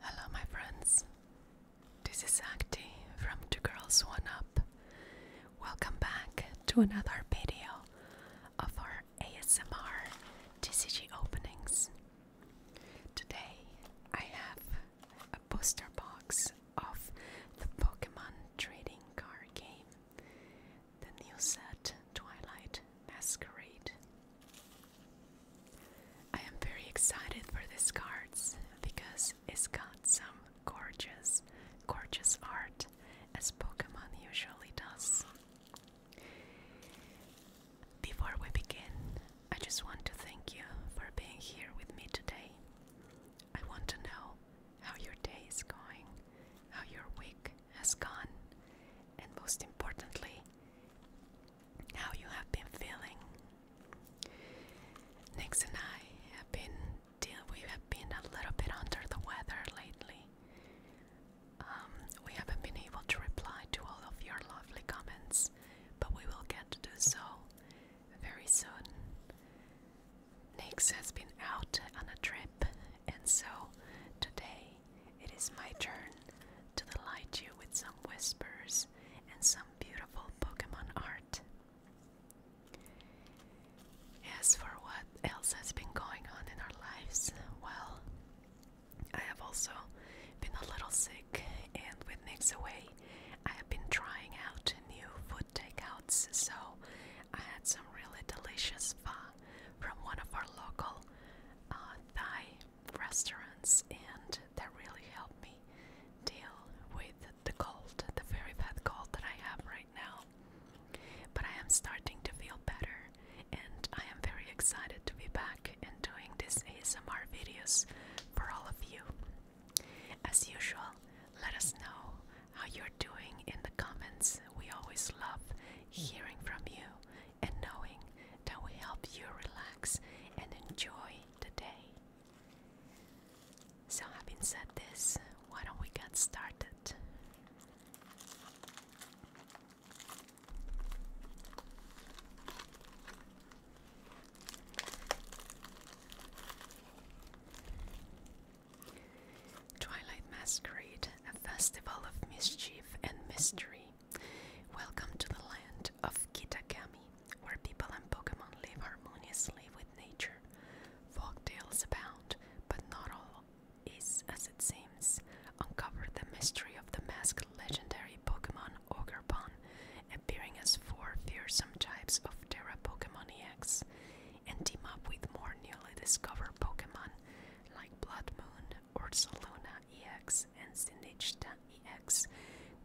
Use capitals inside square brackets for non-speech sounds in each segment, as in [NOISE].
Hello, my friends. This is Akti from Two Girls One Up. Welcome back to another video of our ASMR TCG openings. Today I have a booster box of the Pokemon trading card game, the new set Twilight Masquerade. I am very excited for these cards because it's got some gorgeous, gorgeous art as Pokemon usually does. Before we begin, I just want to thank you for being here with me today. I want to know how your day is going, how your week has gone, and most importantly, how you have been feeling. Nix and I have been we have been a little bit under the weather lately. Um, we haven't been able to reply to all of your lovely comments, but we will get to do so very soon. Nix has been out on a trip, and so today it is my turn to delight you with some whispers and some beautiful Pokemon art. As for what else has been going on in our lives, well, I have also been a little sick, and with Nix away, I have been trying out new food takeouts, so I had some really delicious pho from one of our local uh, Thai restaurants, and that really helped me deal with the cold, the very bad cold that I have right now. But I am starting to feel better, and I am very excited to be back and doing these ASMR videos for all of you. As usual, let us know how you're doing in the comments. We always love hearing from you and knowing that we help you relax and enjoy the day. So, having said this, why don't we get started? Twilight Masquerade, a festival of mischief and mystery. Welcome to the land of Kitakami, where people and Pokemon live harmoniously with nature. Folk tales abound, but not all is as it seems. Uncover the mystery of the masked legendary Pokemon Pokemon Ogrepon, appearing as four fearsome types of Terra Pokemon EX, and team up with more newly discovered Pokemon like Blood Moon, Ursaluna EX, and Sinishta EX,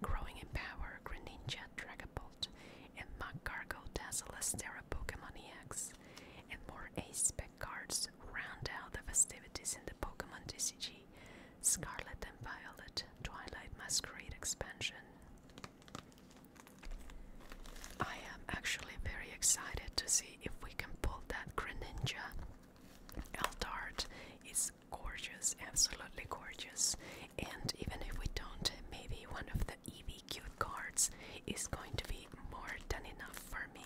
growing in power Greninja Dragapult, and Magcargo Dazzleless Terra Pokemon EX, and more Ace Pack cards round out the festivities in the Pokemon TCG Scarlet and Violet Twilight Masquerade expansion. I am actually very excited to see if we can pull that Greninja. Eldart is gorgeous, absolutely gorgeous. And even if we don't, maybe one of the EVQ cards is going to be more than enough for me.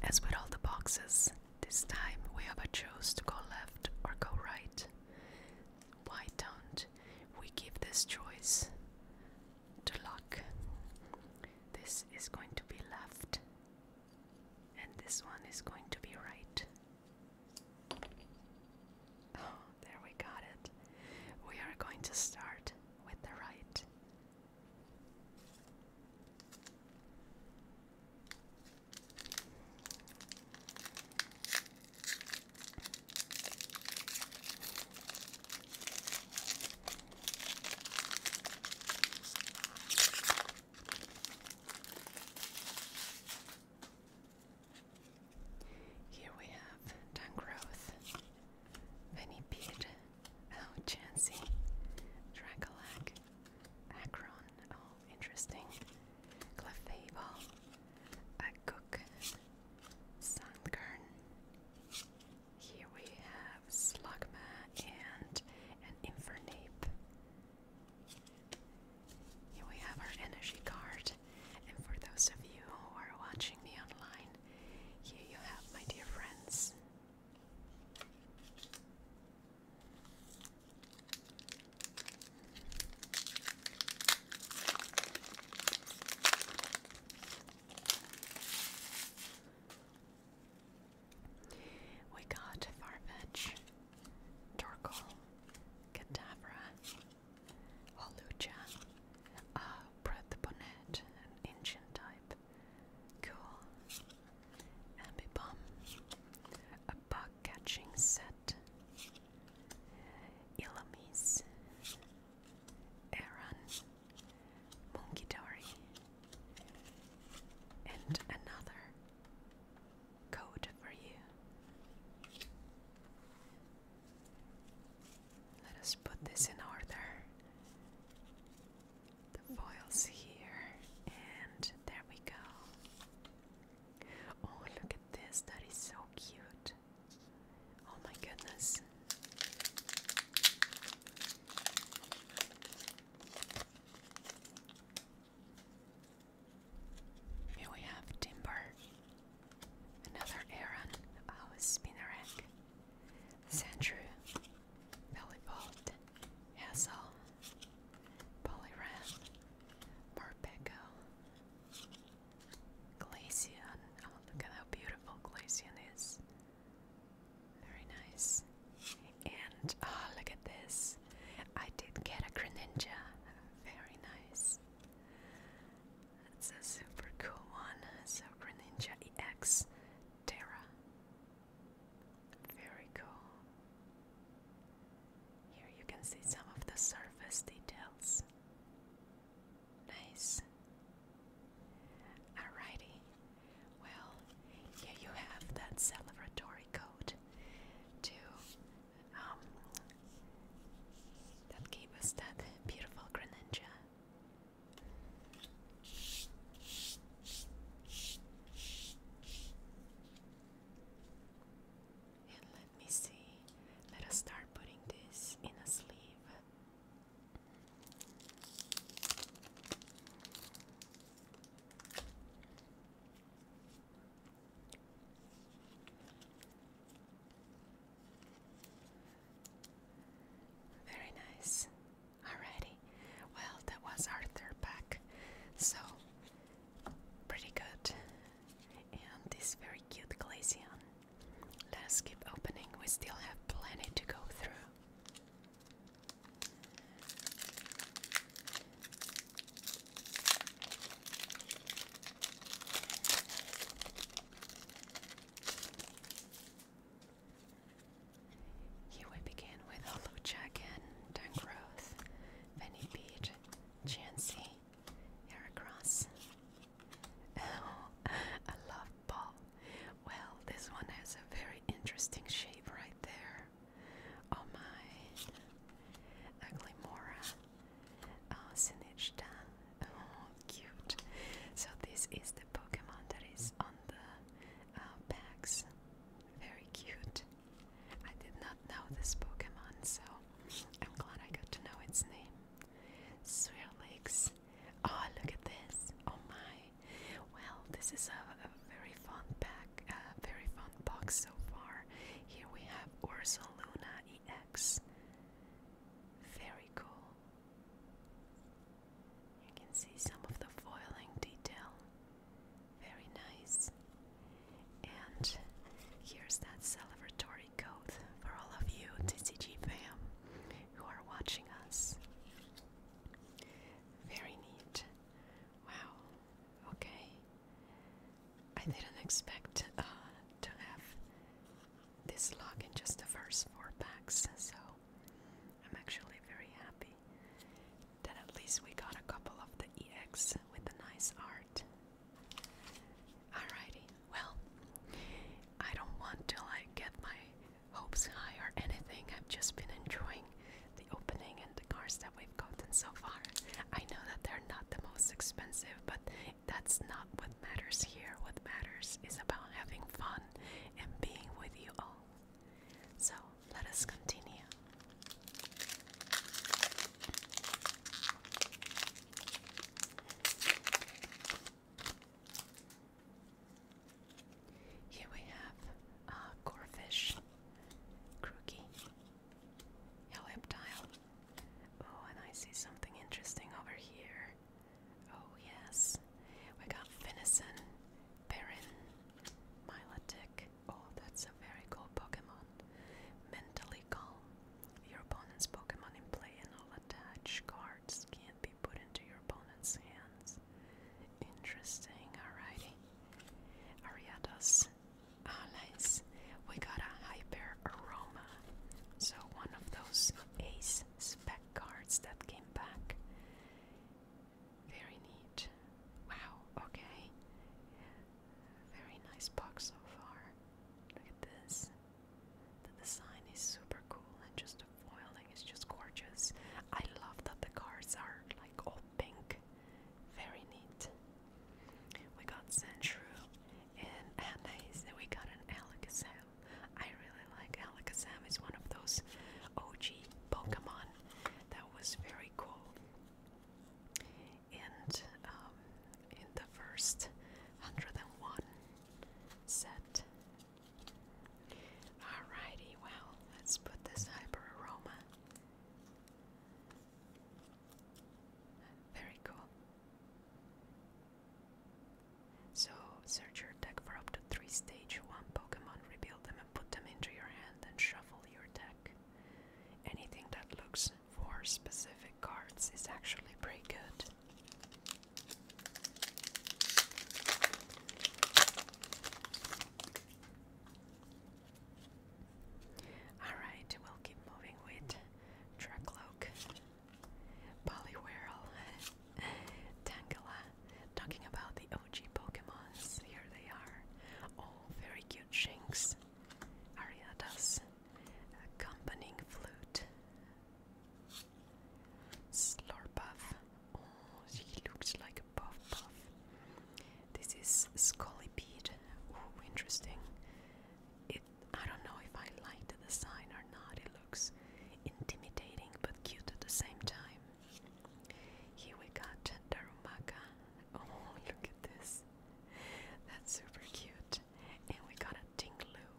As with all the boxes, this time we have a choice to go left or go right. Why don't we give this choice to luck? This is going to be left, and this one is going to be right. Oh, there we got it. We are going to start with the right. Here we have Dungrowth, Venipede, Oh Chansey, Dracolac, interesting. Clefable, Aguk, Sunkern. Here we have Slugma and an Infernape. Here we have our energy card. And for those of you who are watching me online, here you have my dear friends. We got Farfetch, Torkoal, Kadabra, Holucha, a uh, an ancient type, Cool, Ambibomb, a Bug Catching Set, Ilamis, Aaron, Munkidori, and another code for you. Let us put this in order foils here, and there we go. Oh, look at this, that is so cute. Oh my goodness. Here we have timber, another Aaron, our oh, spinnerack, Sandrew, belly bolt, Hassel, Polyran, Morpeko, Glacian. Oh, look at how beautiful Glacian is. Very nice. And oh, look at this. I did get a Greninja. Very nice. That's a super cool one. So Greninja EX Terra. Very cool. Here you can see some of the surface details. Nice. Alrighty. Well, here you have that celebratory code to um that gave us that beautiful greninja. And let me see, let us start putting this in a sleeve. Very nice. Alrighty. Well, that was our third So pretty good. And this very cute glacian. Let's keep opening, we still have plenty to go through. Here we begin with a low jack and growth Benny Beach, Chansey, Heracross. Oh, [LAUGHS] I love ball. Well, this one has a very interesting shape right there. Oh my. Aglimora. Oh, Oh, cute. So this is the Pokemon that is on the uh, Very cute. I did not know this Pokemon, so I'm glad I got to know its name. Swirlix. Oh, look at this. Oh my. Well, this is a, very fun pack, a very fun box so far. Here we have Ursa Luna EX. Very cool. You can see some of the foiling detail. Very nice. And here's that celebratory code for all of you TCG fam who are watching us. Very neat. Wow. Okay. I didn't expect uh, to have this log in just the first four packs, so I'm actually very happy. Then at least we got a couple of the EX with the nice art. Alrighty, well, I don't want to like get my hopes high or anything. I've just been enjoying the opening and the cards that we've gotten so far. I know that they're not the most expensive, but that's not what matters here. What matters is about having fun and being with you all. So let us continue. Here we have uh, gorefish, crookie, heptile. Oh, and I see something interesting over here. Oh, yes. We got venison, perrin, miletic, Oh, that's a very cool Pokemon. Mentally calm. Your opponent's Pokemon in play and all attached cards can't be put into your opponent's hands. Interesting, alrighty. Ariados. Ah, We got a Hyper Aroma. So, one of those ace spec cards that came back. Very neat. Wow, okay. Very nice box so far. Look at this. The design is super cool and just the foiling is just gorgeous. I love that the cards are like all pink. Very neat. We got Sandshrew and Anais and we got an Alakazam. I really like Alakazam. is one of those OG Pokemon that was very cool. Um, in the first 101 set. Alrighty, well, let's put this hyper aroma. Very cool. So, search your deck for up to three stage 1 Pokemon, rebuild them and put them into your hand, and shuffle your deck. Anything that looks for specific cards is actually pretty good. Alright, we'll keep moving with Dracloak, Poliwhirl, [LAUGHS] Tangela, talking about the OG Pokemons. Here they are very cute shanks. Ariada's accompanying flute. Slurpuff. Oh, she looks like a puff puff. This is Scolipede. Oh, interesting. It. I don't know if I like the design or not. It looks intimidating but cute at the same time. Here we got Darumaka, Oh, look at this. That's super cute. And we got a Tingloo.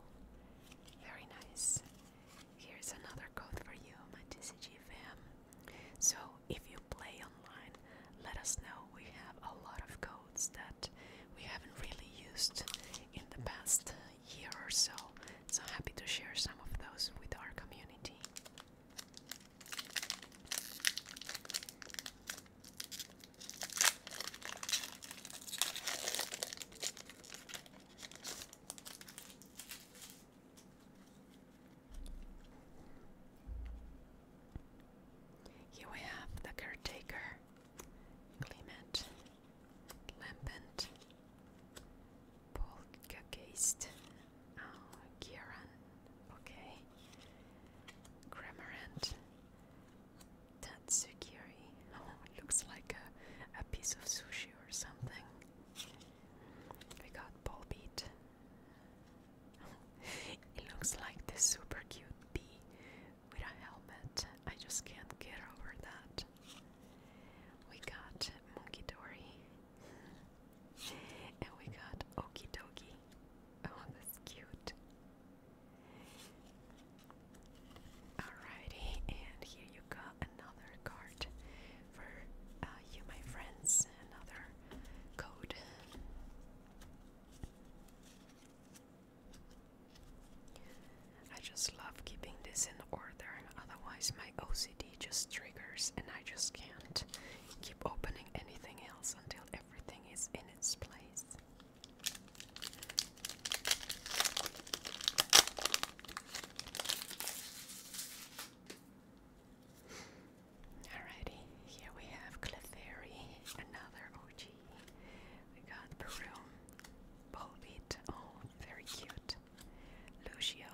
Very nice. Here's another code for you, my TCG fam. So if you play online, let us know. We have a lot of codes that we haven't really used in the past year or so. So happy to share some of those with our community. Here we have the caretaker, Clement, Lampant, Poltergeist, Oh, Kieran. Okay. Grammarant. Tatsukiri. Oh, looks like a, a piece of sushi or something. We got ball beat. [LAUGHS] it looks like this super cute bee with a helmet. I just can't get over that. We got Monkey Dory. [LAUGHS] and we got Okie Dokie. Oh, that's cute. Alrighty, and here you got another card for uh, you, my friends. Another code. I just love keeping this in order, otherwise, my OCD just triggers and I just can't keep opening anything else until everything is in its place. Alrighty, here we have Clefairy, another OG. We got Peru, Bulbeat, oh, very cute. Lucio,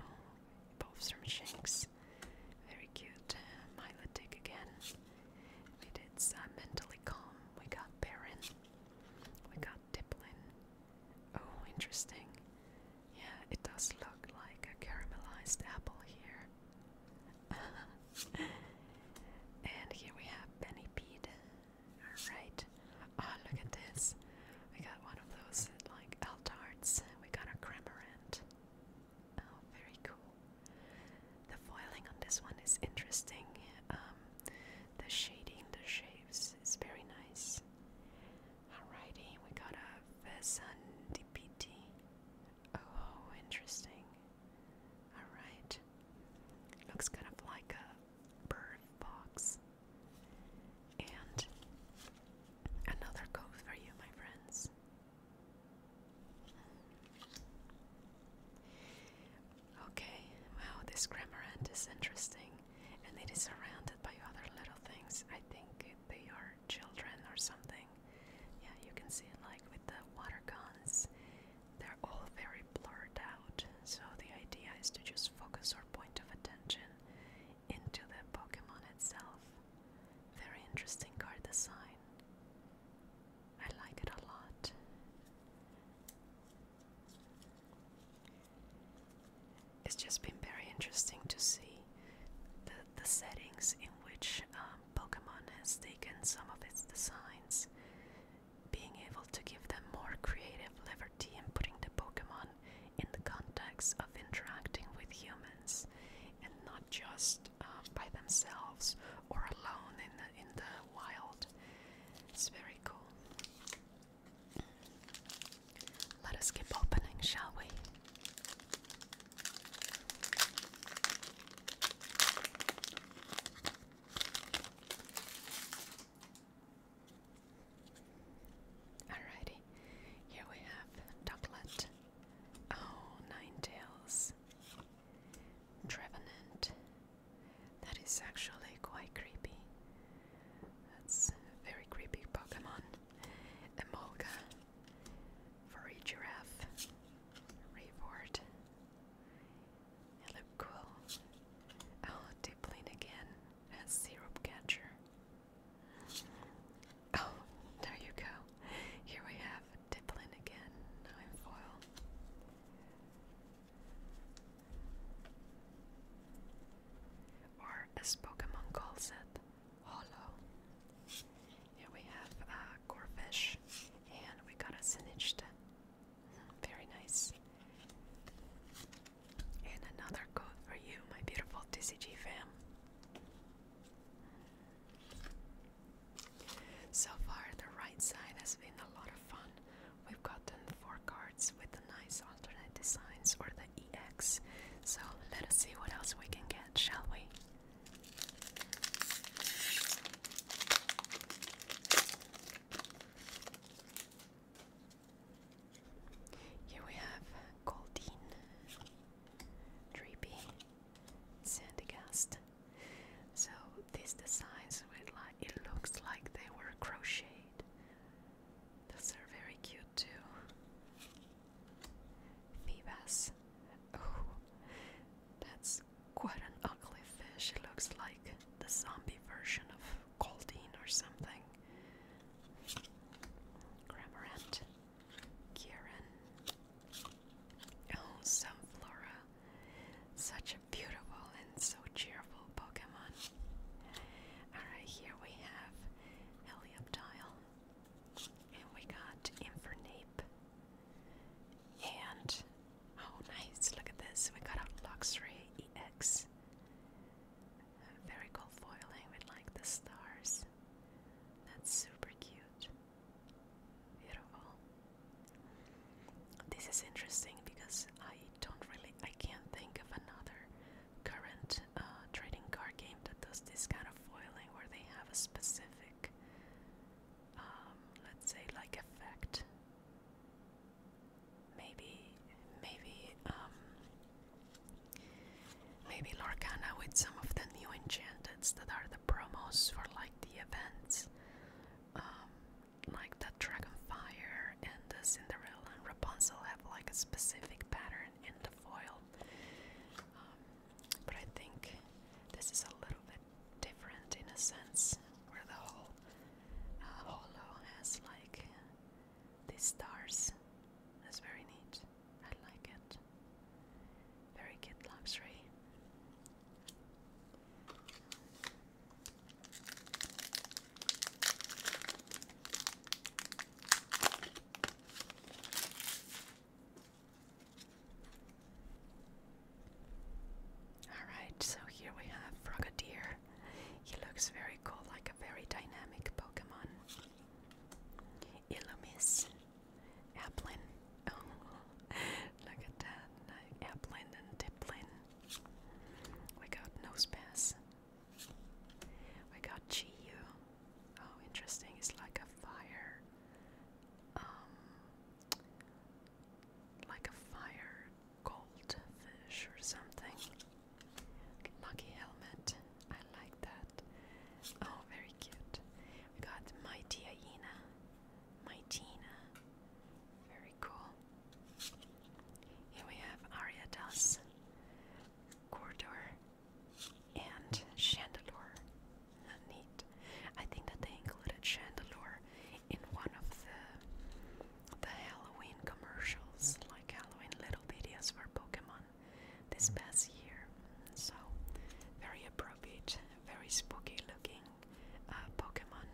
oh, both from Shanks. Very cute. Uh, Dick again. We did some mentally calm. We got Baron. We got Dipplin. Oh, interesting. Yeah, it does look like a caramelized apple here. [LAUGHS] and here we have Penny Peed. Alright. Ah, look at this. We got one of those, like, Altards. We got a Cramorant. Oh, very cool. The foiling on this one is interesting. Um, the shading, the shapes is very nice. Alrighty, we got a Vesandipiti. Oh, interesting. Alright. Looks kind of like a bird box. And another code for you, my friends. Okay, wow, this Cramorant is interesting, and it is surrounded by other little things. I think they are children or something. Yeah, you can see, like with the water guns, they're all very blurred out. So the idea is to just focus our point of attention into the Pokemon itself. Very interesting card design. I like it a lot. It's just been very interesting to see the, the settings in which um, Pokemon has taken some of its designs, being able to give them more creative liberty in putting the Pokemon in the context of interacting with humans and not just um, by themselves or alone in the, in the wild. It's very cool. Let us keep opening, shall we? Alrighty, here we have Ducklet. Oh, Ninetales. Trevenant. That is actually quite creepy. That's very creepy Pokemon. Emolga. For giraffe. Reward. You Oh, Diplin again. Has syrup catcher. Oh, there you go. Here we have a dippling again, now in foil. Or as Pokemon calls it, hollow. Here we have a uh, and we got a Sinistra. Very nice. And another code for you, my beautiful TCG fam. So far, the right side has been a lot of fun. We've gotten four cards with the nice alternate designs or the EX. So let us see what else we can get, shall we? Here we have Goldine, Drippy, Sandygast. So these designs, like, it looks like they were crocheted. Those are very cute too. Phoebas. Oh, that's quite an ugly fish. It looks like the zombie version of Goldine or something. Cramorant. Kieran. Oh, flora, Such a beautiful and so cheerful Pokemon. Alright, here we have Helioptile. And we got Infernape. And, oh nice, look at this. We got a Luxray EX. Very cool foiling with like the stars. That's super cute. Beautiful. This is interesting because I don't really, I can't think of another current uh, trading card game that does this kind of foiling where they have a specific, um, let's say, like effect. Maybe, maybe, um, Maybe Lorcana with some of the new enchanteds that are the promos for like the events. Um, like the Dragonfire and the Cinderella and Rapunzel have like a specific pattern in the foil. Um, but I think this is a little bit different in a sense, where the whole uh, holo has like these stars. That's very neat. I like it. Very good luxury. Alright, so here we have Frogadier. He looks very cool, like a very dynamic Pokemon. Illumis Applin. Oh, [LAUGHS] look at that. Applin and Diplin. We got Nosepass. We got Chiyu. Oh, interesting. It's like a fire. Um, like a fire goldfish or something. Lucky Helmet. I like that. Oh, very cute. We got my tia my Tina. Very cool. Here we have Ariados, Corridor, and Chandelure. Neat. I think that they included Chandelure in one of the the Halloween commercials, like Halloween little videos for Pokemon this past year. So, very appropriate, very spooky looking uh, Pokemon.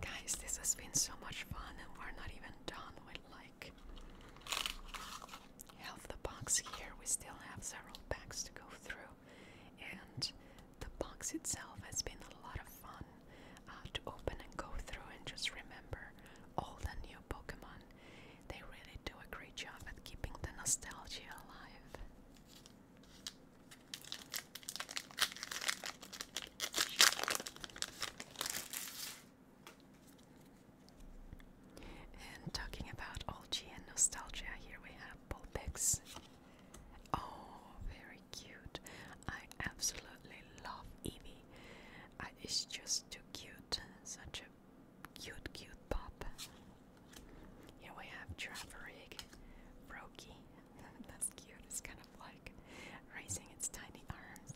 Guys, this has been so much fun, and we're not even done with like half the box here. We still have several packs to go through, and the box itself has been a lot of fun uh, to open and go through and just remember all the new Pokemon they really do a great job at keeping the nostalgia alive. And talking about OG and nostalgia, here we have Bullpix. Oh, very cute. I absolutely love Evie. it's just too cute such a cute, cute pop. Here we have Traverig, Roki. [LAUGHS] That's cute. It's kind of like raising its tiny arms.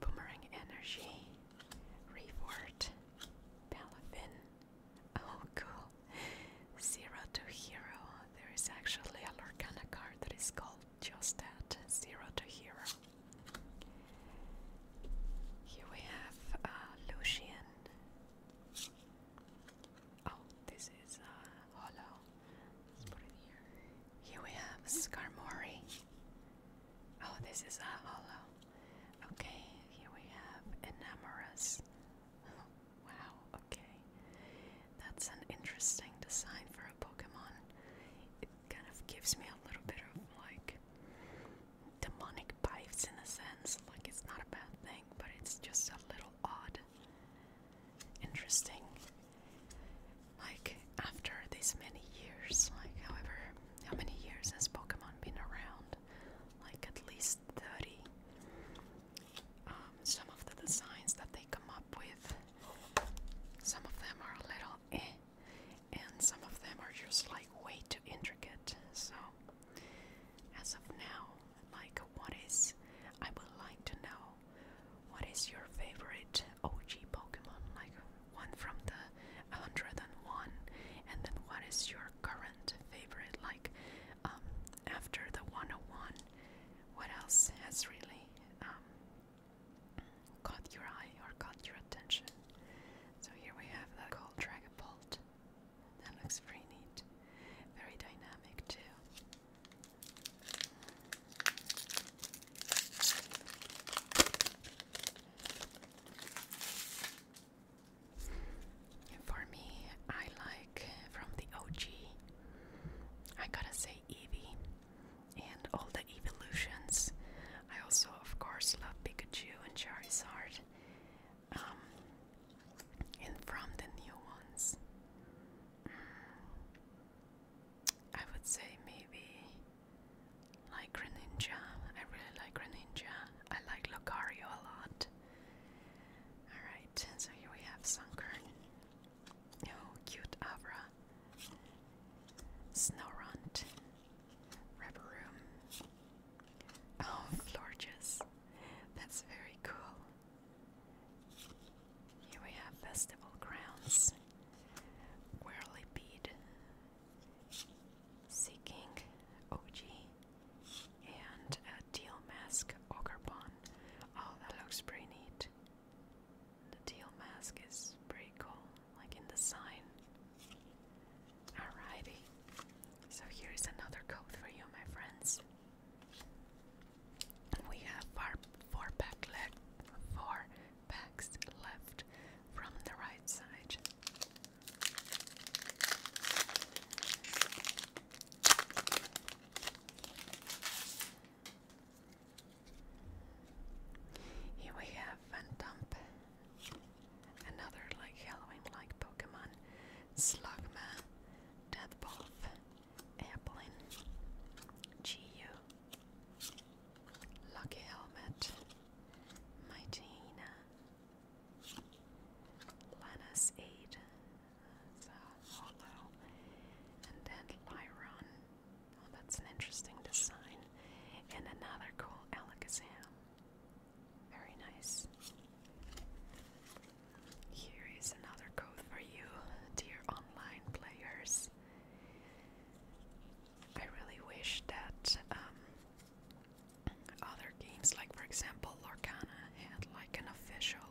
Boomerang Energy, Reward, Palafin. Oh, cool. Zero to Hero. There is actually a Lorcana card that is called just that, zero to hero. Here we have uh, Lucian. Oh, this is uh, hollow. Let's put it here. Here we have Skarmory. Oh, this is a uh, hollow. Okay, here we have Enamorous. [LAUGHS] wow, okay. That's an interesting design for a Pokemon kind of gives me a little bit of like demonic vibes in a sense. Like it's not a bad thing, but it's just a little odd. Interesting. Like after this many years, like however how many years has Pokemon been around? Like at least thirty. Um, some of the designs that they come up with, some of them are a little eh, and some of them are just like way too intricate. So, as of now, like, what is I would like to know what is your favorite OG Pokemon, like one from the 101, and then what is your current favorite, like, um, after the 101, what else has really um, caught your eye or caught your attention. So here we have that called Dragonbolt. That looks pretty neat. Very dynamic too. For me, I like from the OG. I gotta say Eevee and all the evolutions. I also, of course, love Pikachu and Charizard. Um, and from the new ones, mm, I would say maybe like Greninja. I really like Greninja. I like Lucario a lot. Alright, so here we have Sunkern. Oh, cute Avra. Snowrunt. Rubberoom. Oh, Florges. That's very cool. Here we have Festival Grounds. Whirly Bead. OG. And a Teal Mask Ogre Oh, that looks pretty neat. The teal mask is pretty cool, like in the sign. Alrighty. So here is another code for you, my friends. We have our four pack left, four packs left from the right side. Here we have Phantump, another like Halloween-like Pokemon, Slugma, Deathwolf, Applin, Chiyu, Lucky Helmet, Mightyena, Lana's Aid, hollow, and then Lyron. Oh, that's an interesting design. And another cool Alakazam. Very nice. Here is another code for you, dear online players. I really wish that um, other games, like for example Lorcana, had like an official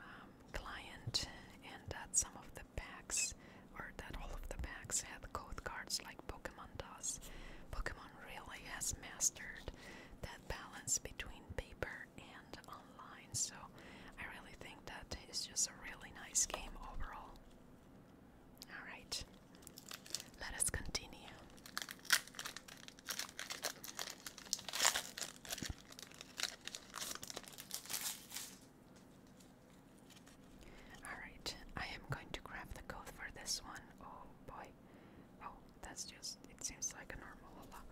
um, client, and that some of packs, or that all of the packs had code cards like Pokemon does. Pokemon really has mastered that balance between paper and online, so I really think that is just a really nice game overall. Alright, let us continue. Alright, I am going to grab the code for this one. Oh boy. Oh, that's just, it seems like a normal Lola.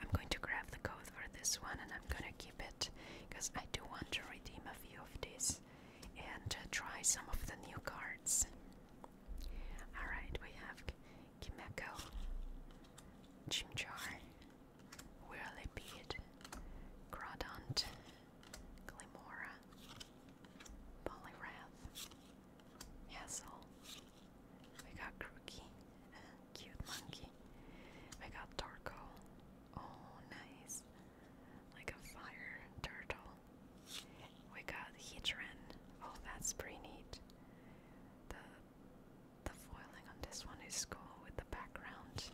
I'm going to grab the code for this one and I'm gonna keep it because I do want to redeem a few of these and uh, try some of the new cards. Alright, we have Kimeko, Chimchar, Whirlipede, Crawdont, Glimora, Polyrath, Hassel. We got Crookie, cute monkey. We got Torco. Oh, nice. Like a fire turtle. We got Heatran. Oh, that's pretty neat. The the foiling on this one is cool with the background.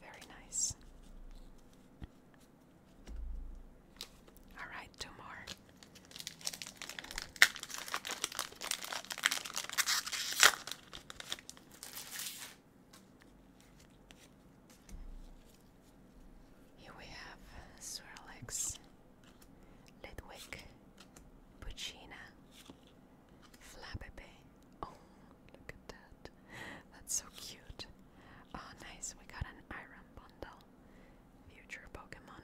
Very nice. All right, two more. Here we have Swirlix, Litwick, Puccina, Flabébé. Oh, look at that. That's so cute. Oh, nice. We got an Iron Bundle. Future Pokemon.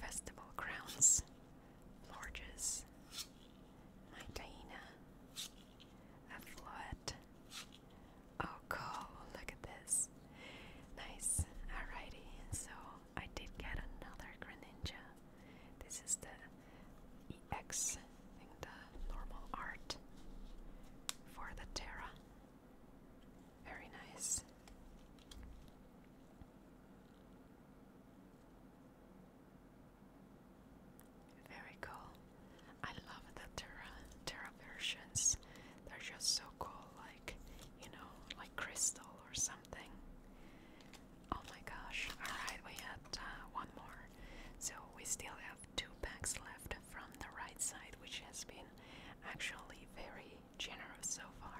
Festival Crowns. Lorges. Nitaina. Affluet. Oh, cool. Look at this. Nice. Alrighty. So I did get another Greninja. This is the EX, I the normal art for the Terra. Very nice. Very cool. I love the Terra Terra versions. They're just so cool, like you know, like crystal or something. Oh my gosh. Alright, we had uh, one more. So we still have two packs left from the right side, which has been actually very generous so far.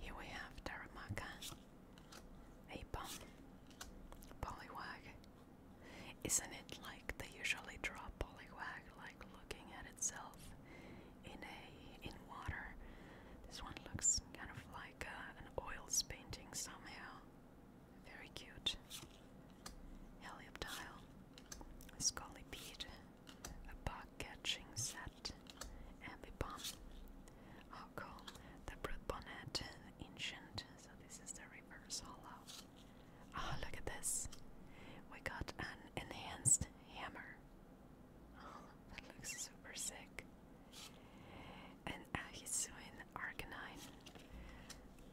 Here we have Taramaka. A pump. Poliwag. Isn't it like they usually draw poliwag like looking at itself in a in water? This one looks kind of like uh, an oils painting somehow. Very cute. Helioptile. Scolipede. A bug catching set. Ambipom. Hollow, the Brood Bonnet Ancient. So this is the reverse hollow. Oh, ah, look at this. We got an enhanced hammer. [LAUGHS] Oh, that looks super sick. And uh, he's doing Arcanine.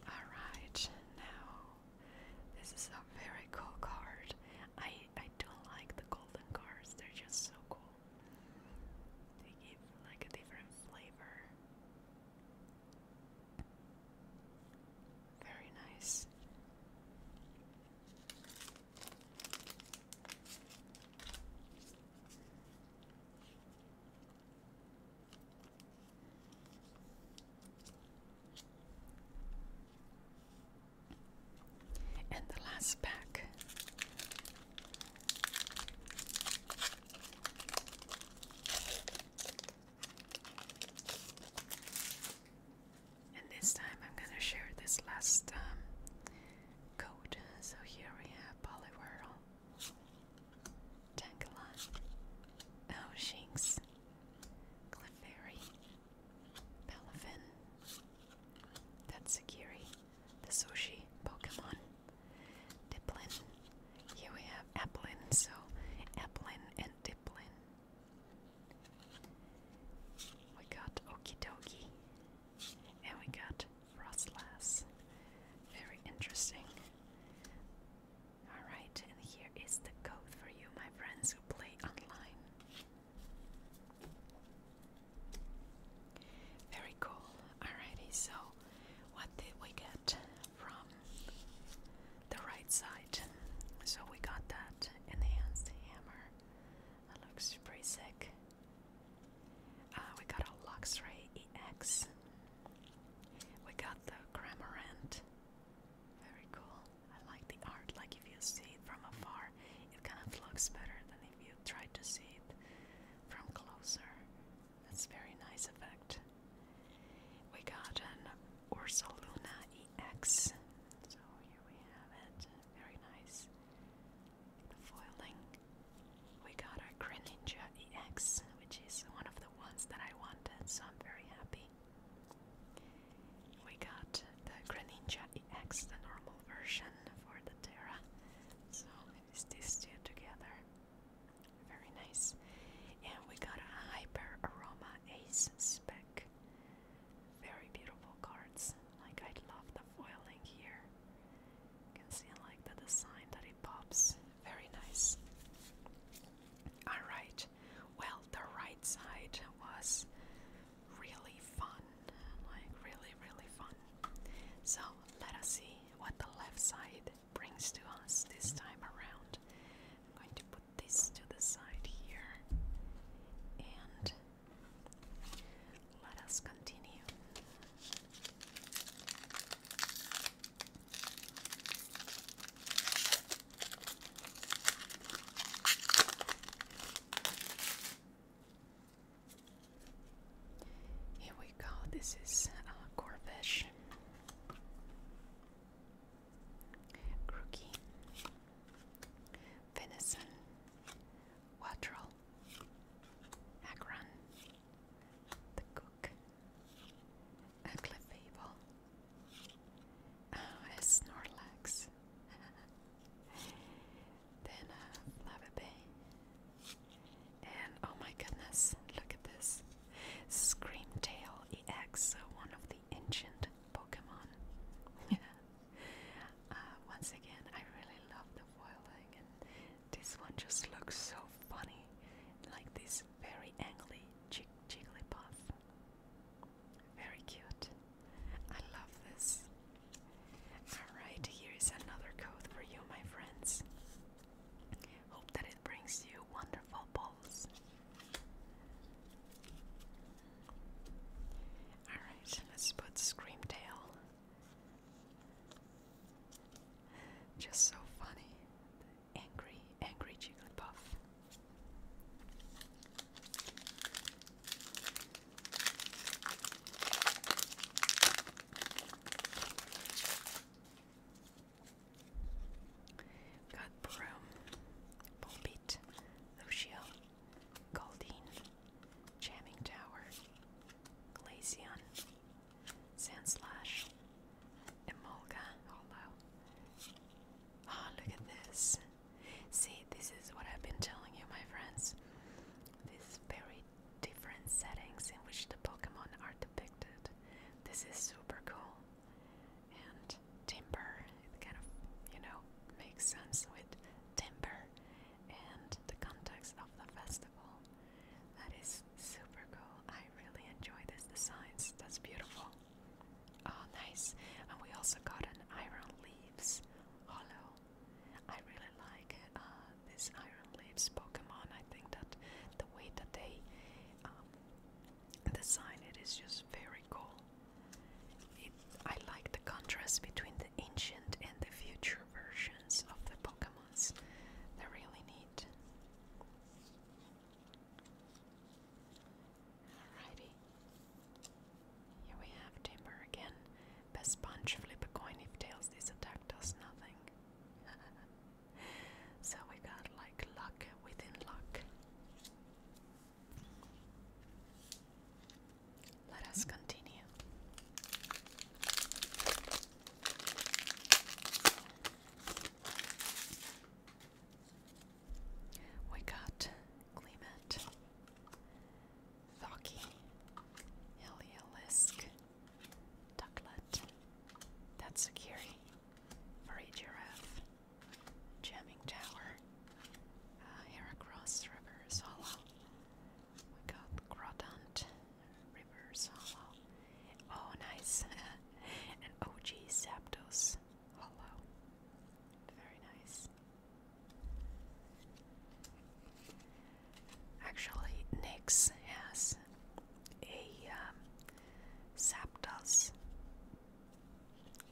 Alright, now this is a very cool card. I I don't like the golden cards, they're just so cool. They give like a different flavor. Very nice. And the last pack and this time I'm gonna share this last um, code. So here we have Poliwhirl, Tankalon, Oh Shinx, Clefairy, Palafin, Tatsukiri, the sushi Pokemon. Diplin. Here we have Applin, so Applin and Diplin. We got Okidoki. And we got Frostlass. Very interesting. Alright, and here is the code for you, my friends who play online. Very cool. Alrighty, so what did we get from the right side? So we got that enhanced hammer. That looks pretty sick. Uh, we got a Luxray EX. We got the Cramorant. Very cool. I like the art. Like if you see it from afar, it kind of looks better than if you try to see it from closer. That's very nice effect. We got an Ursa Luna EX. So here we have it. Very nice. foiling. We got our Greninja EX, which is one of the ones that I wanted, so I'm very happy. We got the Greninja EX, the normal version for the Terra. So is these two together. Very nice. And we got a Hyper Aroma Ace Spec. Very beautiful cards. Like I love the foiling here. You can see like the design that it pops. Very nice. Alright. Well the right side was really fun like really really fun. So let us see what the left side brings to us this time around. going to put this to the side here and let us continue. Here we go. This is uh, Corvish, Crookie, Venison, Watrel, Agron, The Cook, a Clefable, ah, a Snorlax. [LAUGHS] Then uh, Lava Bay. And oh my goodness, look at this. Scream Tail EX, uh, one of the ancient Pokemon. [LAUGHS] uh, once again, I really love the foiling, and this one just looks so funny. Like this very angry jig Jigglypuff. Very cute. I love this. Alright, here is another code for you, my friends. Hope that it brings you wonderful balls. Alright, let's put Screamtail. Just so funny. Angry, angry Jigglypuff. Got Broom, Pulpit, Lucio, Goldine, Tower, Glaceon, Sandslash, Emolga, Hollow. Oh, ah, look at this. See, this is what I've been telling you, my friends. This very different settings in which the Pokemon are depicted. This is super cool. And timber, it kind of, you know, makes sense with timber and the context of the festival. That is super cool. I really enjoy this design. That's beautiful. Oh, nice. And we also got an iron leaves hollow. I really like uh, this Iron Leaves Pokemon. I think that the way that they the um, sign it is just very cool. I like the contrast between the ancient and the future versions of the Pokemon. They're really neat. Alrighty. Here we have Timber again. Best punch, flip a coin if tails, this attack does nothing. [LAUGHS] so we got like luck within luck. Let us continue. We got Clement, Thocky, Elielisk, Ducklet. That's Security. For a giraffe. Jamming Tower. Uh, Heracross Rivers Hollow. We got Grotant Rivers Hollow. Oh, nice. [LAUGHS] and OG Zapdos Hollow. Very nice. Actually, Nyx has a um, Zapdos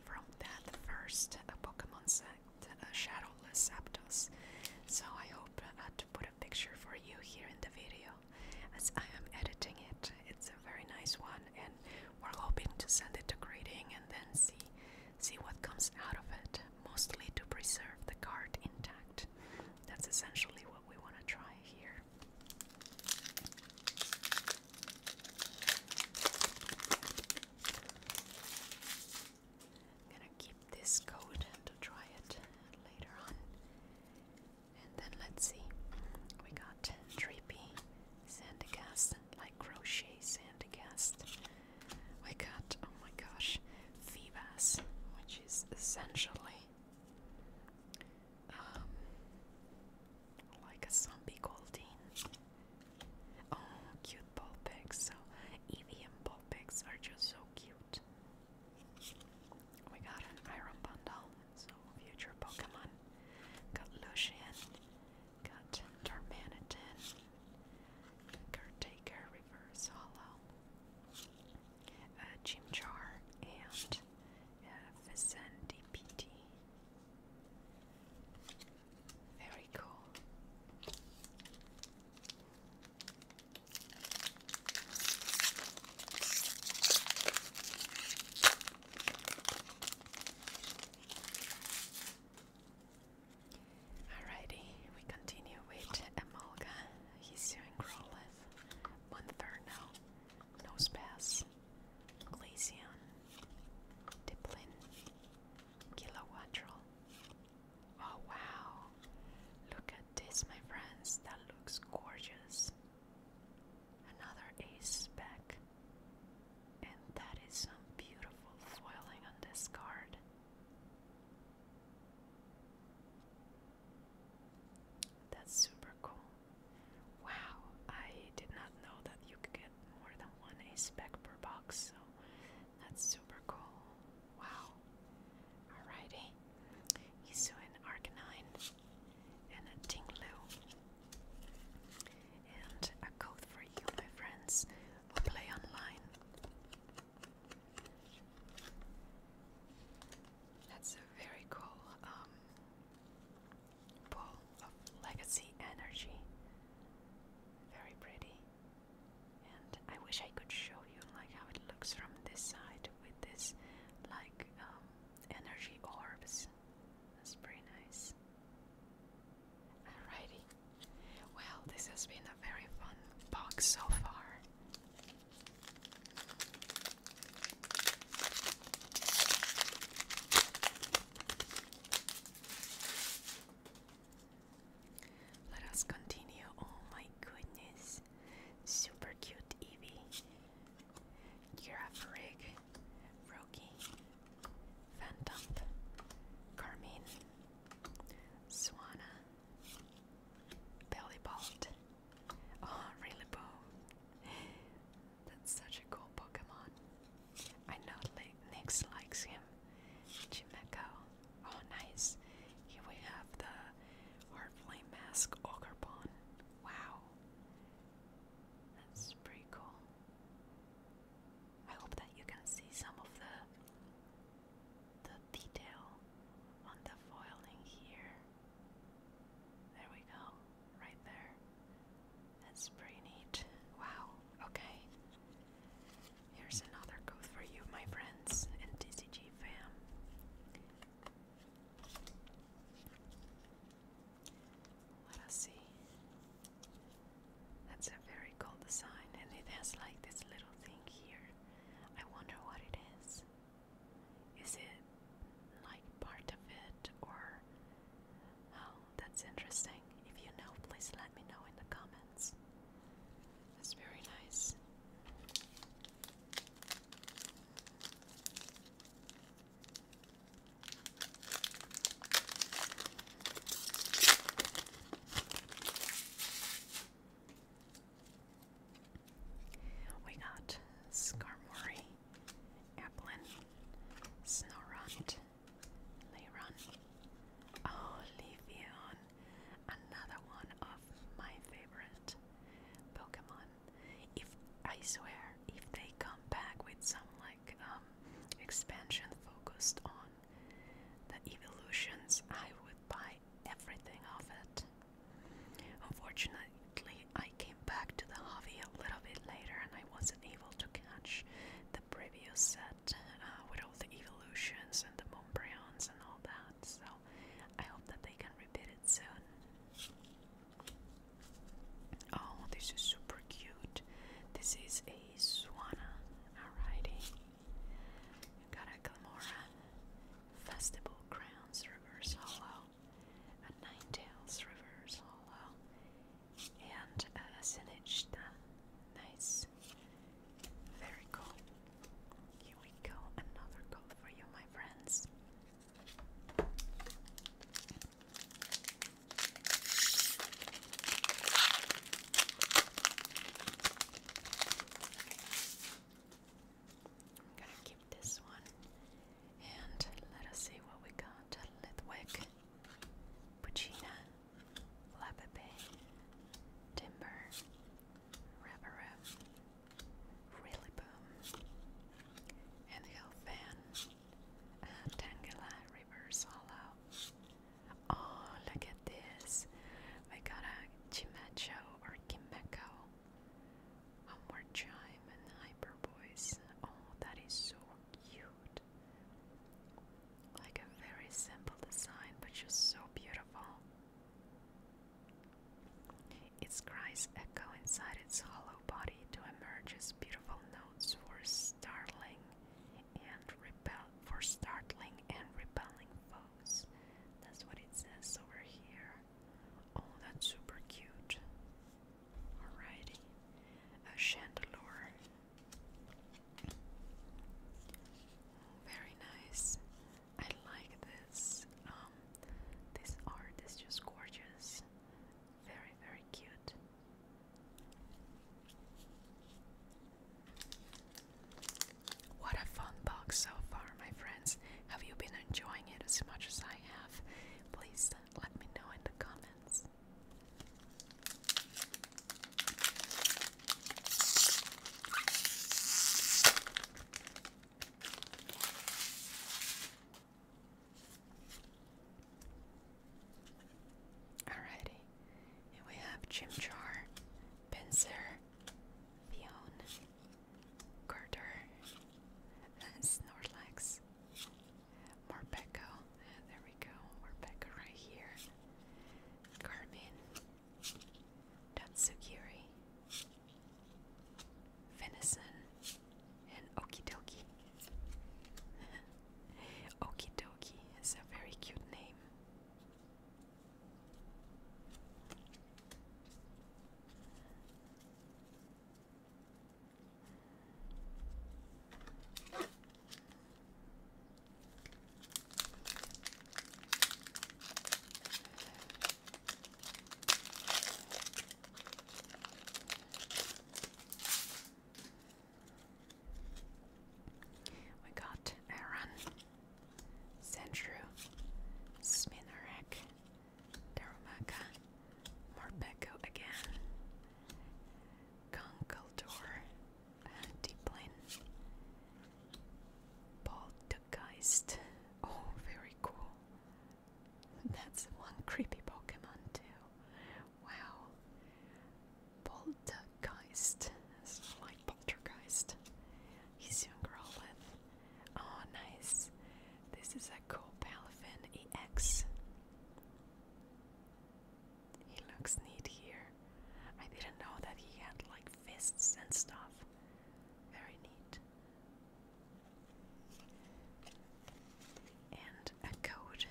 from that first Pokemon set, a Shadowless Zapdos. So I hope uh, to put a picture for you here in the video as I am editing it. It's a very nice one, and we're hoping to send it to grading and then see see what comes out of it mostly to preserve the card intact. That's essentially what we want to try here. I'm gonna keep this code to try it later on. And then let's see. We got Trippy, Sandicast, like crochet Sandicast, we got, oh my gosh, Phoebus, which is essentially um, like a zombie Goldeen. Oh, cute Bulbix. So, Eevee and Bulbix are just so cute. We got an Iron Bundle, so future Pokemon. Got Lucian, got Tormanitan, Caretaker, Reverse Hollow, uh, and uh, Vicente Very cool. Alrighty, we continue with Emolga. He's doing Growlithe, Monferno, Nosepass, Glaceon, Diplin, Kilowatrel. Oh wow! Look at this, my friends, that looks gorgeous. Another ace back. And that is some beautiful foiling on this card. That's super cool. Wow, I did not know that you could get more than one spec per box, so that's super cool. Wow. Alrighty. He's an Arcanine and a Tinglu. And a code for you, my friends, who play online. That's a very cool um, ball of legacy energy. Very pretty. And I wish I could show you like how it looks from this side with this like um, energy orbs. That's pretty nice. Alrighty. Well, this has been a very fun box so far. Let us continue. Oh my goodness. Super cute Evie, Giraffe Rig. Rocky. Phantom. Carmine. Swana. Belly Oh, Rillaboom. That's such a cool Pokemon. I know Nix likes him. Chimeko. Oh, nice. Here we have the Heart Flame Mask Ogrebon. Wow. That's pretty cool. I hope that you can see some of the the detail on the foiling here. There we go, right there. That's pretty neat. Wow, okay. Here's another code for you, my friends, and TCG fam. Let us see. That's a very cool design, and it has like this little thing here. I wonder what it is. Is it like part of it or. Oh, that's interesting. If you know, please let me know in the comments. That's very nice. We got Skarmory, Applin, Snorunt, Leiron, oh another one of my favorite Pokemon. If I swear, if they come back with some like um, expansion focused on the evolutions, I would buy everything of it. Unfortunately, I came back to the hobby a little bit later and I wasn't able to catch the previous set uh, with all the evolutions and the Montbrons and all that, so I hope that they can repeat it soon. Oh, this is super cute. This is a Swana. Alrighty. Karaklamora, Festival Crowns Reverse Hollow, a Ninetales Reverse Hollow, and a Sinishta. Nice. Very cool. Here we go, another gold for you, my friends. I'm gonna keep this one. And let us see what we got. Litwick, Puccina, Lapepe, Timber, Rabarab, Really Boom, and Hellfan, and Tangela Rivers Hollow. Oh, look at this. We got a Chimacho or Kimeko. One more chime and hyper voice. Oh, that is so cute. Like a very simple design, but just so beautiful. Its cries echo inside its hollow body to emerge as beautiful notes for startling and repel for startling and repelling that's what it says over here. Oh, that's super cute. Alrighty. A chandelure. Very nice. I like this. Um, this art is just gorgeous. Very, very cute. What a fun box so far, my friends. Have you been enjoying it as much as I have? Please uh, let me know in the comments. Alrighty, and we have Chimchar, Pinsir, Pion, Carter, Snorlax, Morpeko. There we go, Morpeko right here. Carmen, Tatsugiri, Venison, and Okidoki. [LAUGHS] Okidoki is a very cute name. We got Aaron. Sandrew, Sminarek, Darumaka, Morpeko again, Conkeldor, uh, Poltergeist. Oh, very cool. That's one creepy Pokemon, too. Wow. Poltergeist. like poltergeist he's young girl with. Oh, nice. This is a cool Copalafin EX. He looks neat here. I didn't know that he had like fists and stuff. Very neat. And a code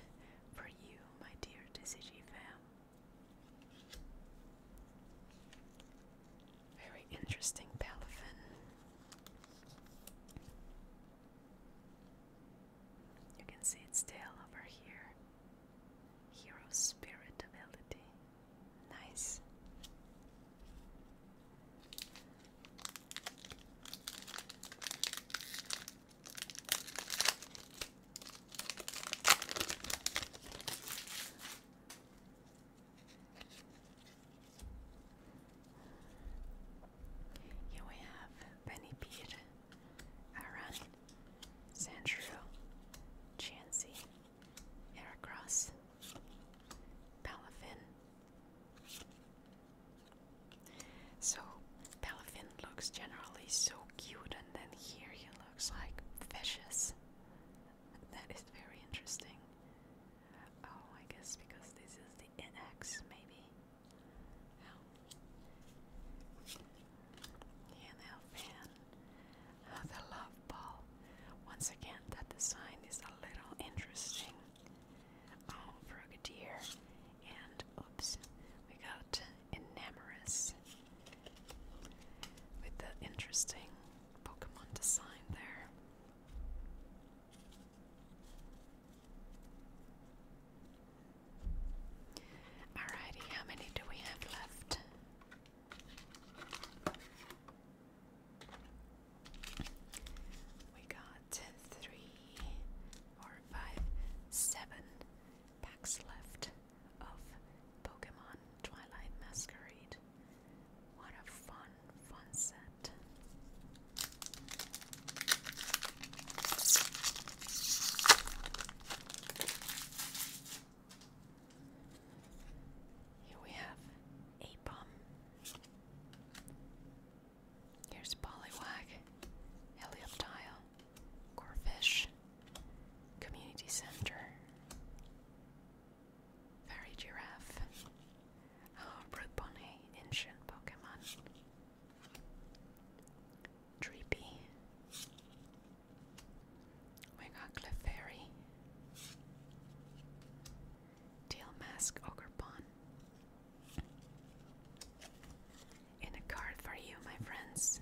for you, my dear DCG fam. Very interesting Palafin. You can see its tail over here. Hero spirit ability. Nice. Here we have Benny Peer, Aaron, Sandrew, Chansey, Heracross, Palafin. So Palafin looks generally so cute and then here he looks like vicious that is very interesting. Oh, I guess because this is the NX, maybe. Oh. fan. Oh, the love ball. Once again, that design is a little interesting. Oh, Frogadier. And, oops, we got Enamorous with the interesting Pokemon design there. Alrighty, how many do we have left? We got three, four, five, seven packs left of Pokemon Twilight Masquerade. What a fun, fun set. Here we have Apom. Here's Poliwag, Helioptile, Corfish, Community Center, Fairy Giraffe. Oh, ancient Pokemon. Dreepy. We got Clefairy. Teal Mask In a card for you, my friends.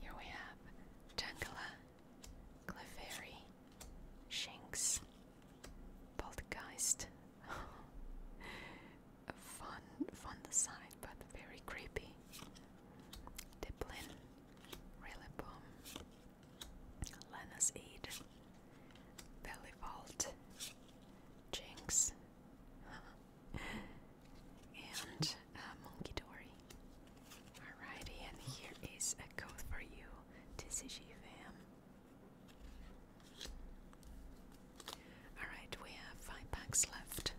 Here we have Jangala, Clefairy, Shinx, Poltergeist. [LAUGHS] fun, fun design, but very creepy. Diplin, Rillaboom, Lena's Aid, Belly Vault, Jinx. [LAUGHS] and uh, Monkey Dory. Alrighty, and here is a code for you, TCG fam. Alright, we have five packs left.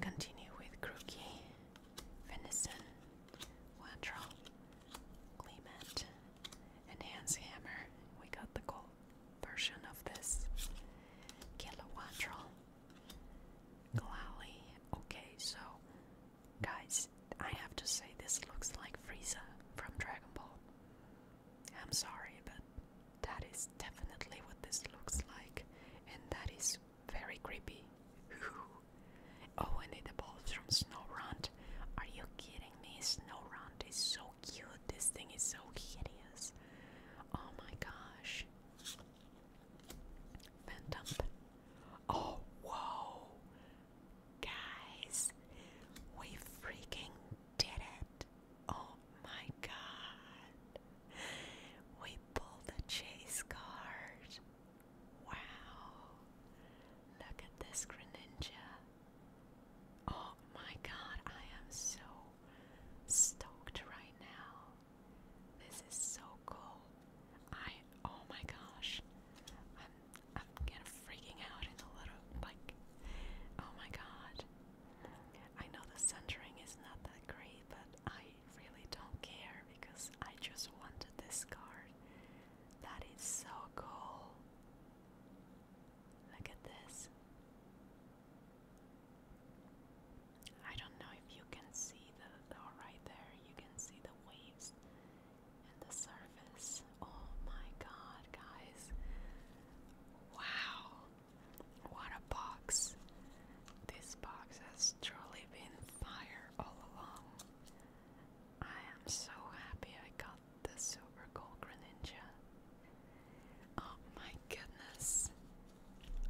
Continue with Crookie, Venison, Wantrell, Clement, and Hammer. We got the gold version of this. Kilowantrell, Glalie. Okay, so guys, I have to say this looks like Frieza from Dragon Ball. I'm sorry, but that is definitely what this looks like, and that is very creepy. [LAUGHS] oh, and it evolves from Snowrunt. Are you kidding me? Snowrunt is so cute. This thing is so hideous. Oh my gosh. Phantom. Oh, whoa. Guys, we freaking did it. Oh my god. We pulled the chase card. Wow! Look at this Greninja. Oh my god, I am so stoked right now. This is so cool. I oh my gosh. I'm I'm kind of freaking out in a little like oh my god. I know the centering is not that great, but I really don't care because I just wanted this card. That is so cool. Look at this. I don't know if you can see the, oh, right there, you can see the waves and the surface. Oh my god, guys. Wow, what a box! This box has truly been fire all along. I am so happy I got the Super Gold Greninja. Oh my goodness.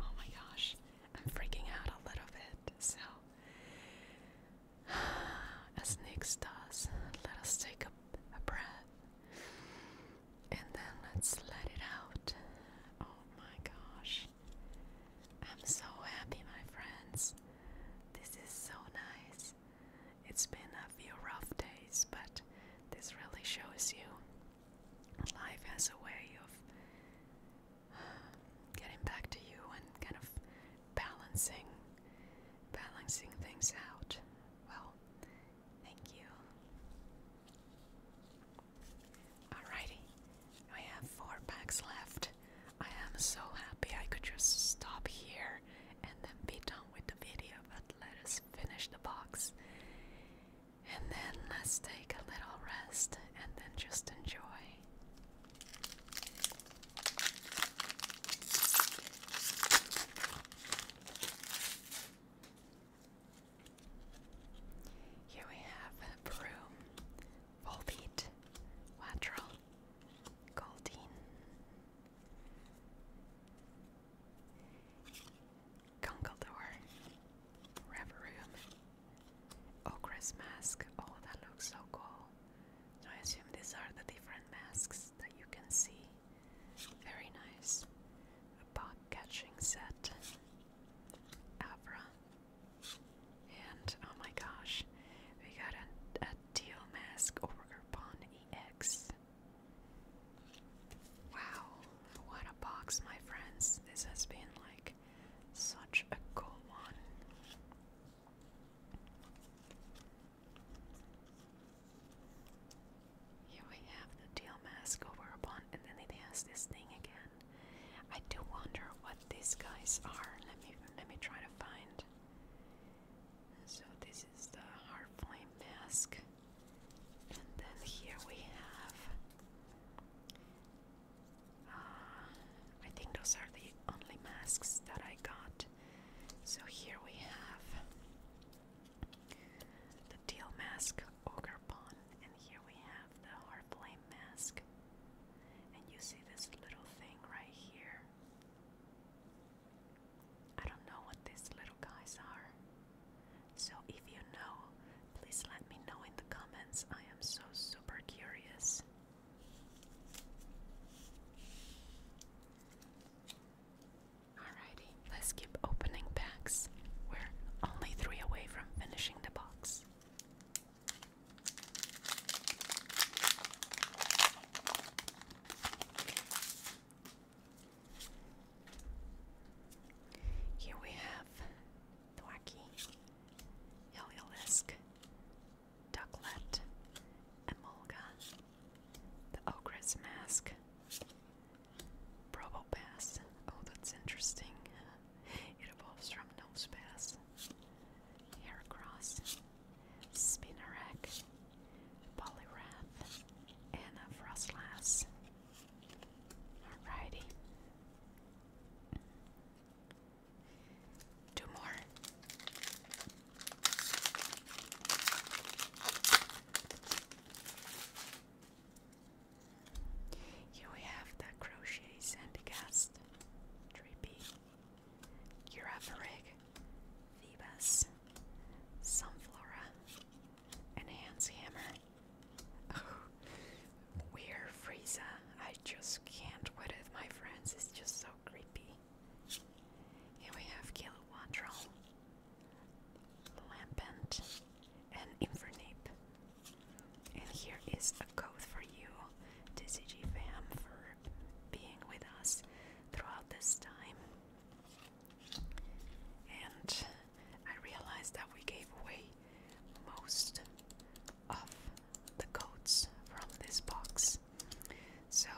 Oh my gosh. I'm freaking out a little bit. So, [SIGHS] as Nyx does, let us take a breath and then let's let it out. Oh my gosh. I'm so happy, my friends. This is so nice. It's been a few rough days, but this really shows you life has a way of getting back to you and kind of balancing balancing things out. Well, thank you. Alrighty, I have four packs left. I am so happy I could just stop here and then be done with the video, but let us finish the box. And then let's take a little rest and then just enjoy. Here we have a broom, Volbeat, Watrel, Goldine, Gungeldor, Reverum, Okra's Mask. Oh, that looks so cool. I assume these are the different masks that you can see. Very nice. A bug catching set. Avra, and oh my gosh, we got a, a Teal Mask or Urban EX. Wow, what a box, my friends. This has been like such a cool one. Here we have the Teal Mask over Urban, and then it has this thing again. I do wonder what these guys are. Let me let me try to find. So this is the hard flame mask. And then here we have uh, I think those are the only masks that I got. So here we have the teal mask ogre pawn and here we have the hard flame mask. And you see this little thing right here. I don't know what these little guys are. So if you know, please let me know in the comments. I am so super curious. Alrighty, let's keep opening packs. We're only three away from finishing the box. Here we have Thwacky, Eliolisk, Ducklet, Emolga, the Ogre's Mask, Probopass. Oh, that's interesting. It evolves from Nosepass, Heracross, Spinnerack, Poliwrath, and Frostlass. Alrighty. Two more. Here we have the Crochet Sandicast. Drippy, Urafarig, Phoebus, Sunflora, Enhance Hammer. Oh, Weird Frieza. I just can't with it, my friends. It's just so creepy. Here we have Kilowattro, Lampent, and Infernape. And here is a code for you, TCG fam, for being with us throughout this time. And I realized that we gave away most of the codes from this box. So,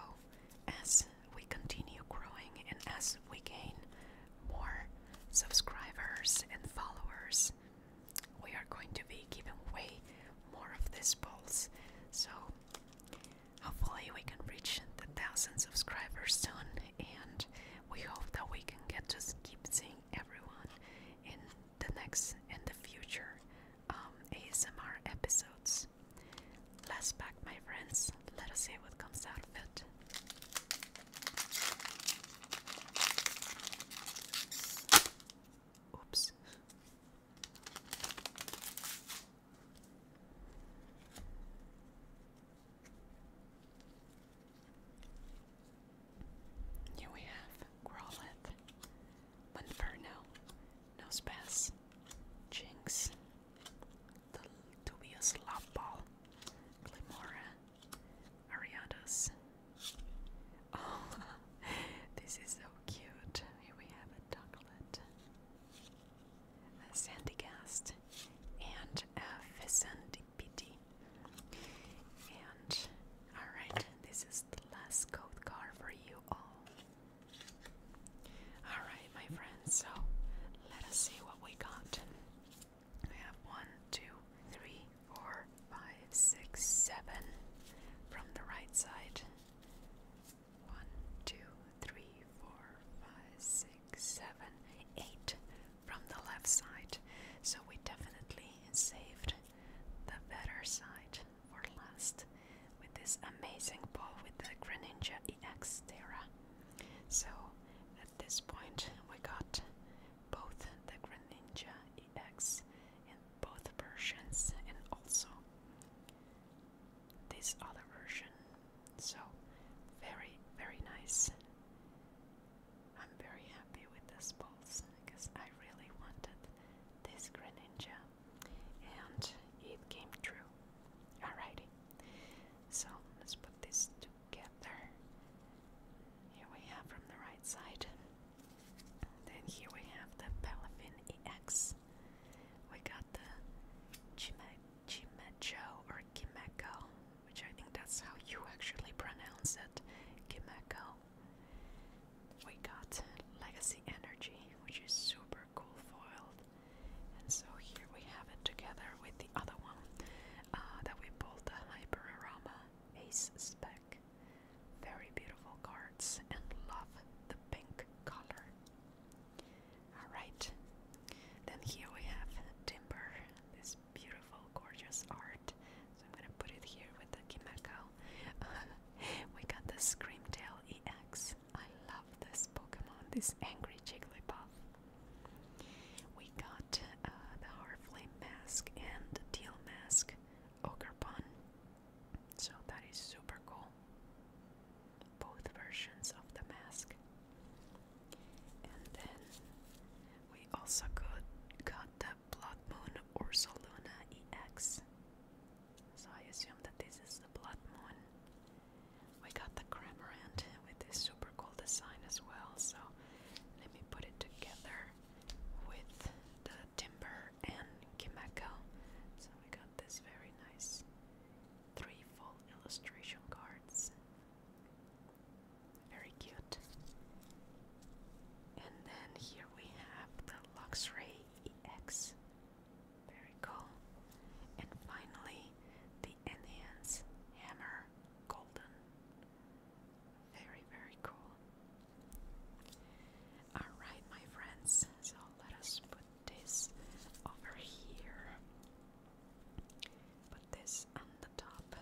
as we continue growing and as we gain more subscribers and followers, we are going to be giving away more of these balls. So hopefully we can reach the thousand subscribers soon and we hope that we can get to keep seeing everyone in the next and the future um, ASMR episodes. Last pack my friends, let us see what comes out of it. Oops. Here we have Growlithe, Monferno, Nospass, Jinx, the dubious Love Ball, Glimora, Ariados, Oh, [LAUGHS] this is so cute. Here we have a ducklet, a sandygast, and a pheasantipiti. And alright, this is the last code card for you all. Alright, my friends, so let us see what we got. We have one, two, three, four, five, six, seven from the right side. One, two, three, four, five, six, seven, eight from the left side. So we definitely saved the better side for last with this amazing ball with the Greninja EX Terra. So at this point we got both the Greninja EX in both versions and also this other version. So, very, very nice. I'm very happy with this pulse because I really wanted this Greninja and it came true. Alrighty, so let's put this together. Here we have from the right side. Then here we have the Palafin EX. We got the Chime Chimecho or Kimeko, which I think that's how you actually pronounce it. Kimeko. We got Legacy Energy, which is super cool foiled. And so here we have it together with the other one uh, that we pulled the Hyperaroma Ace Spell. Very beautiful cards and love the pink color. Alright, then here we have Timber, this beautiful, gorgeous art. So I'm gonna put it here with the Kimeko. [LAUGHS] we got the Screamtail EX. I love this Pokemon, this angry Jigglypuff. We got uh, the Heartflame mask and the mask. Ogre Pond. So that is super cool. Both versions of the mask. And then we also got, got the Blood Moon Ursaluna EX. So I assume that this is the Blood Moon. We got the Cramorant with this super cool design as well. So let me put it together with the timber and Kimako, So we got this very nice three full illustration cards. Very cute. And then here we have the Luxray EX. Very cool. And finally, the Enhance Hammer Golden. Very, very cool. Alright, my friends, so let us put this over here. Put this on the top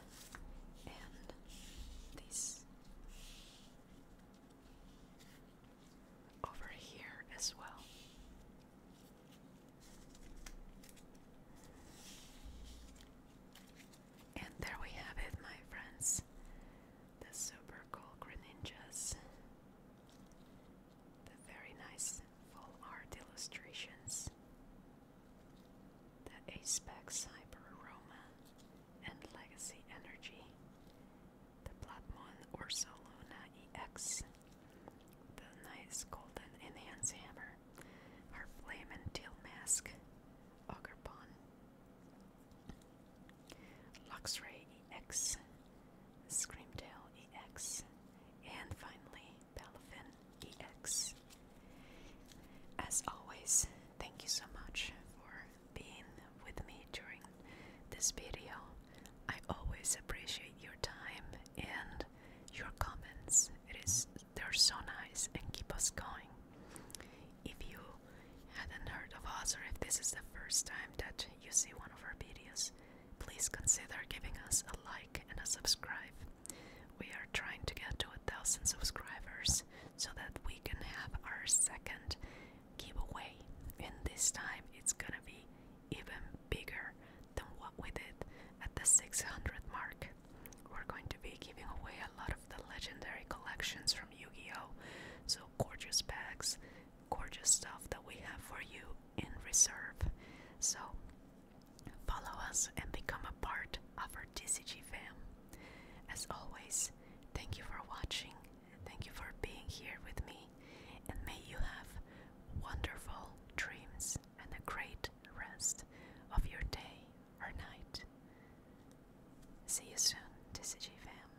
and this over here as well. And there we have it, my friends. The super cool Greninjas. The very nice full art illustrations. The Aspec Cyber Aroma and Legacy Energy. The Platmon Ursoluna EX. The nice golden enhance hammer. Our flame and teal mask. Ogre Pond Luxray EX, Screamtail EX, and finally Palafin EX. As always, thank you so much for being with me during this video. I always appreciate your time and your comments. It is they're so nice and keep us going. If you hadn't heard of us or if this is the first time that you see one of our videos, please consider giving us a like and a subscribe. We are trying to get to a thousand subscribers so that we can have our second giveaway. And this time it's gonna be even bigger than what we did at the 600 mark. We're going to be giving away a lot of the legendary collections from. Yu-Gi-Oh! So gorgeous bags, gorgeous stuff that we have for you in reserve. So follow us and become a part of our TCG fam. As always, thank you for watching. Thank you for being here with me and may you have wonderful dreams and a great rest of your day or night. See you soon, TCG fam.